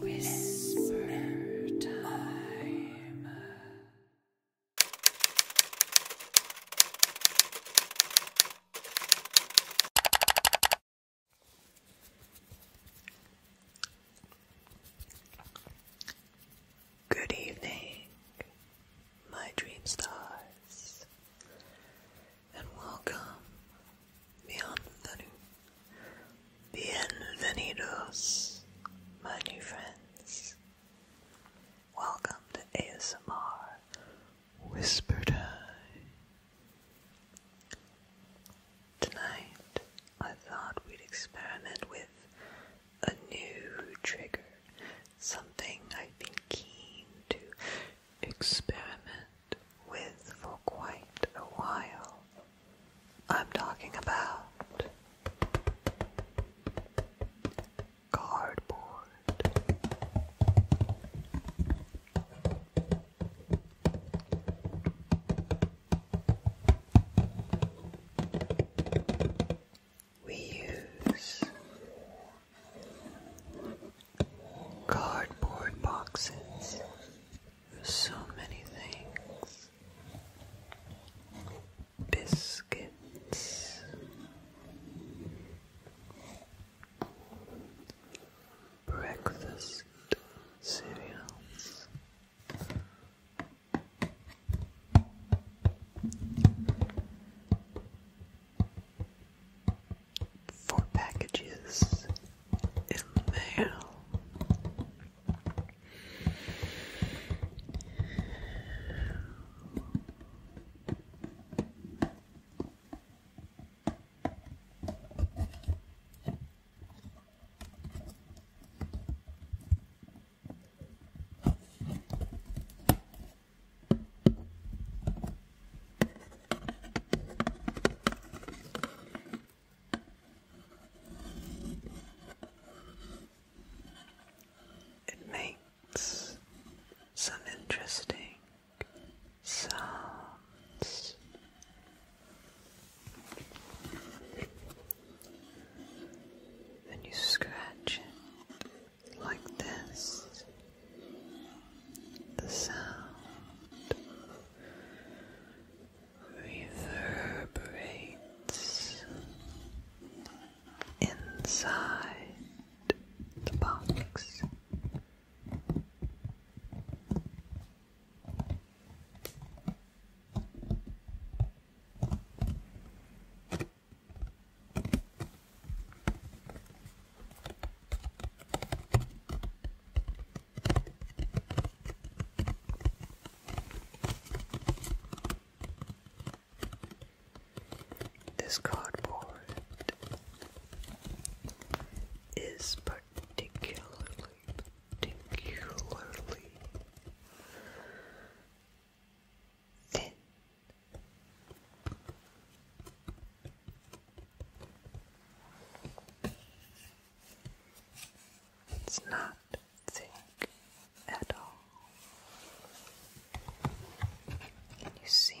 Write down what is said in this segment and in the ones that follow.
Whisper time. Good evening, my dream stars and welcome. Bienvenidos, my new friends. Welcome to ASMR Whisper Tonight, I thought we'd experiment with a new trigger, something I've been keen to experiment with for quite a while. I'm talking about cardboard. We use Cardboard boxes. So many things. Biscuits. Breakfast cereals for packages in the mail. It makes some interesting sounds. Then you scratch it like this the sound reverberates inside the box. This cardboard is particularly particularly it's not thick at all. Can you see?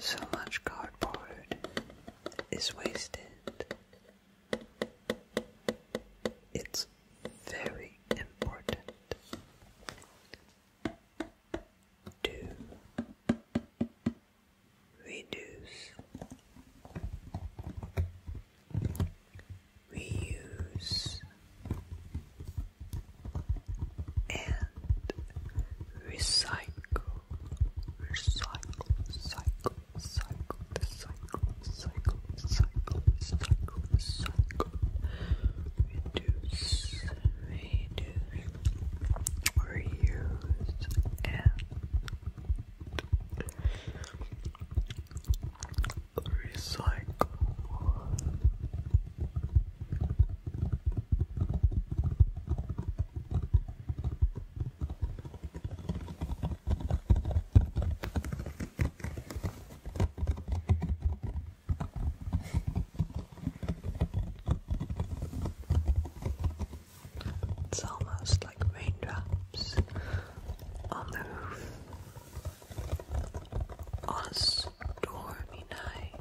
So much cardboard is wasted. It's very important to reduce we use and recycle, recycle, cycle, cycle, cycle, cycle, cycle, cycle, cycle, reduce, reduce, reuse, and recycle It's almost like raindrops on the roof on a stormy night.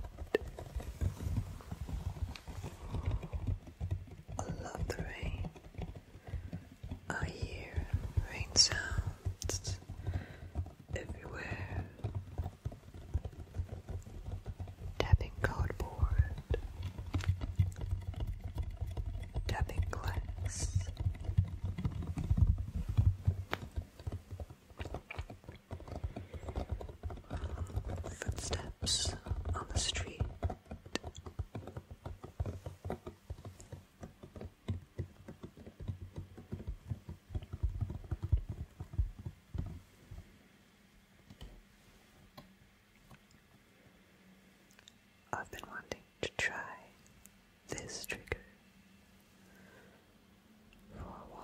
I love the rain. I hear rain sounds everywhere. Tapping cardboard, tapping glass, Footsteps on the street. I've been wanting to try this trigger for a while.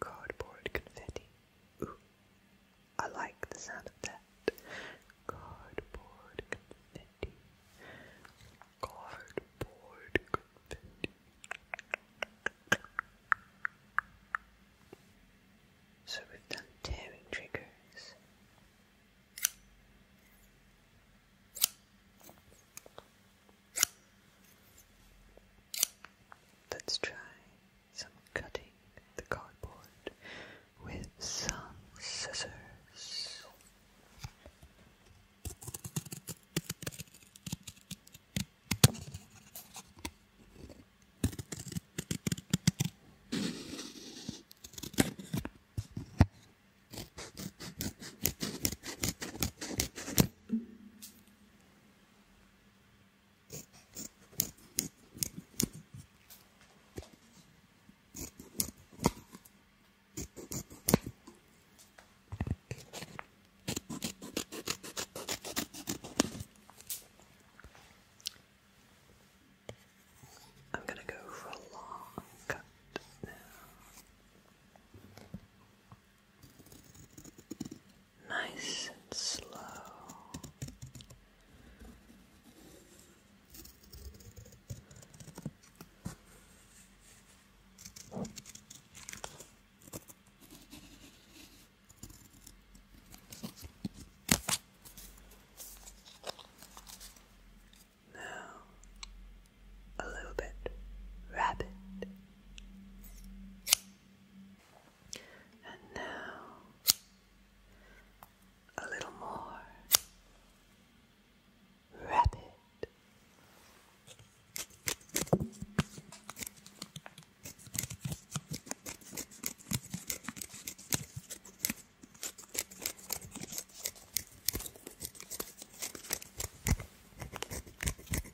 Cardboard confetti. I like the sound of that. Cardboard confetti. Cardboard confetti. So we've done tearing triggers. Let's try some cutting the cardboard with some scissors. I'm going to go for a long cut now nice and slow. Now, a little bit rapid. And now a little more rapid.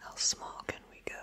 How small can we go?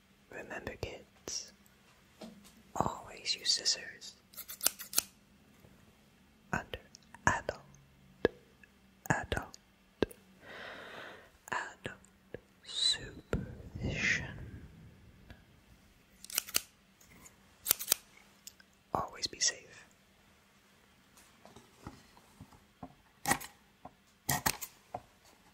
Remember, kids, always use scissors under adult, adult, adult supervision. Always be safe.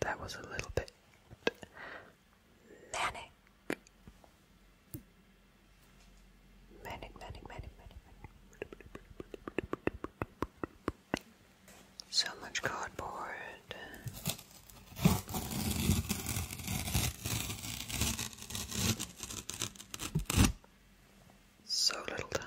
That was a little bit manic. Manic, manic, manic, manic, manic. So much cardboard. So little time.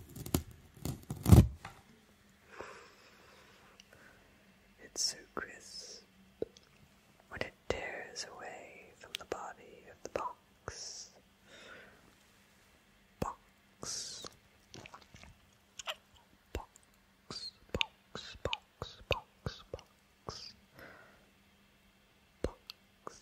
It's so crisp when it tears away from the body of the box. Box. Box, box, box, box, box box. Truck.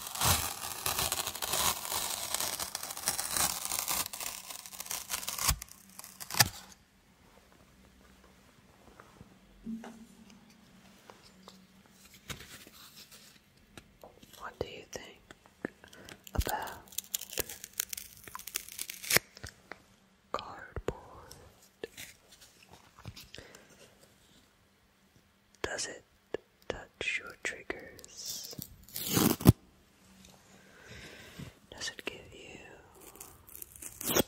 What do you think about cardboard? Does it touch your triggers. Does it give you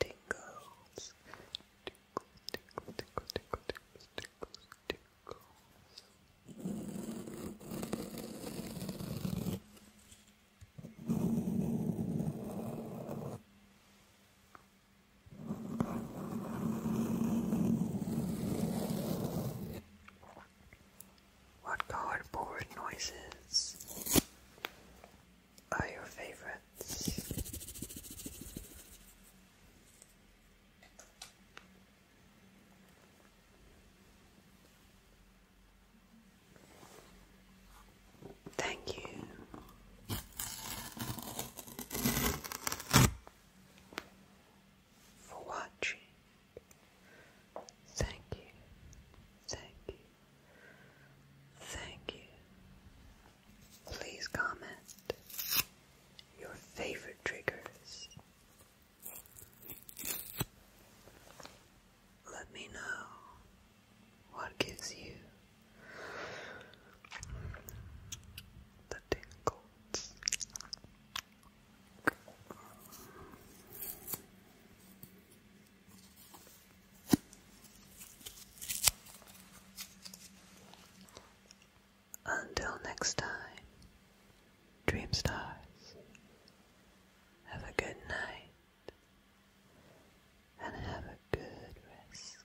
tingles? Tickle, tickle, tickle, tickle, tickles, tickles, tickles. What cardboard noises are your favorites? Thank you for watching. Thank you, thank you, thank you. Please comment your favorite triggers. Let me know what gives you the tingles. Until next time, dream stars. Have a good night and have a good rest.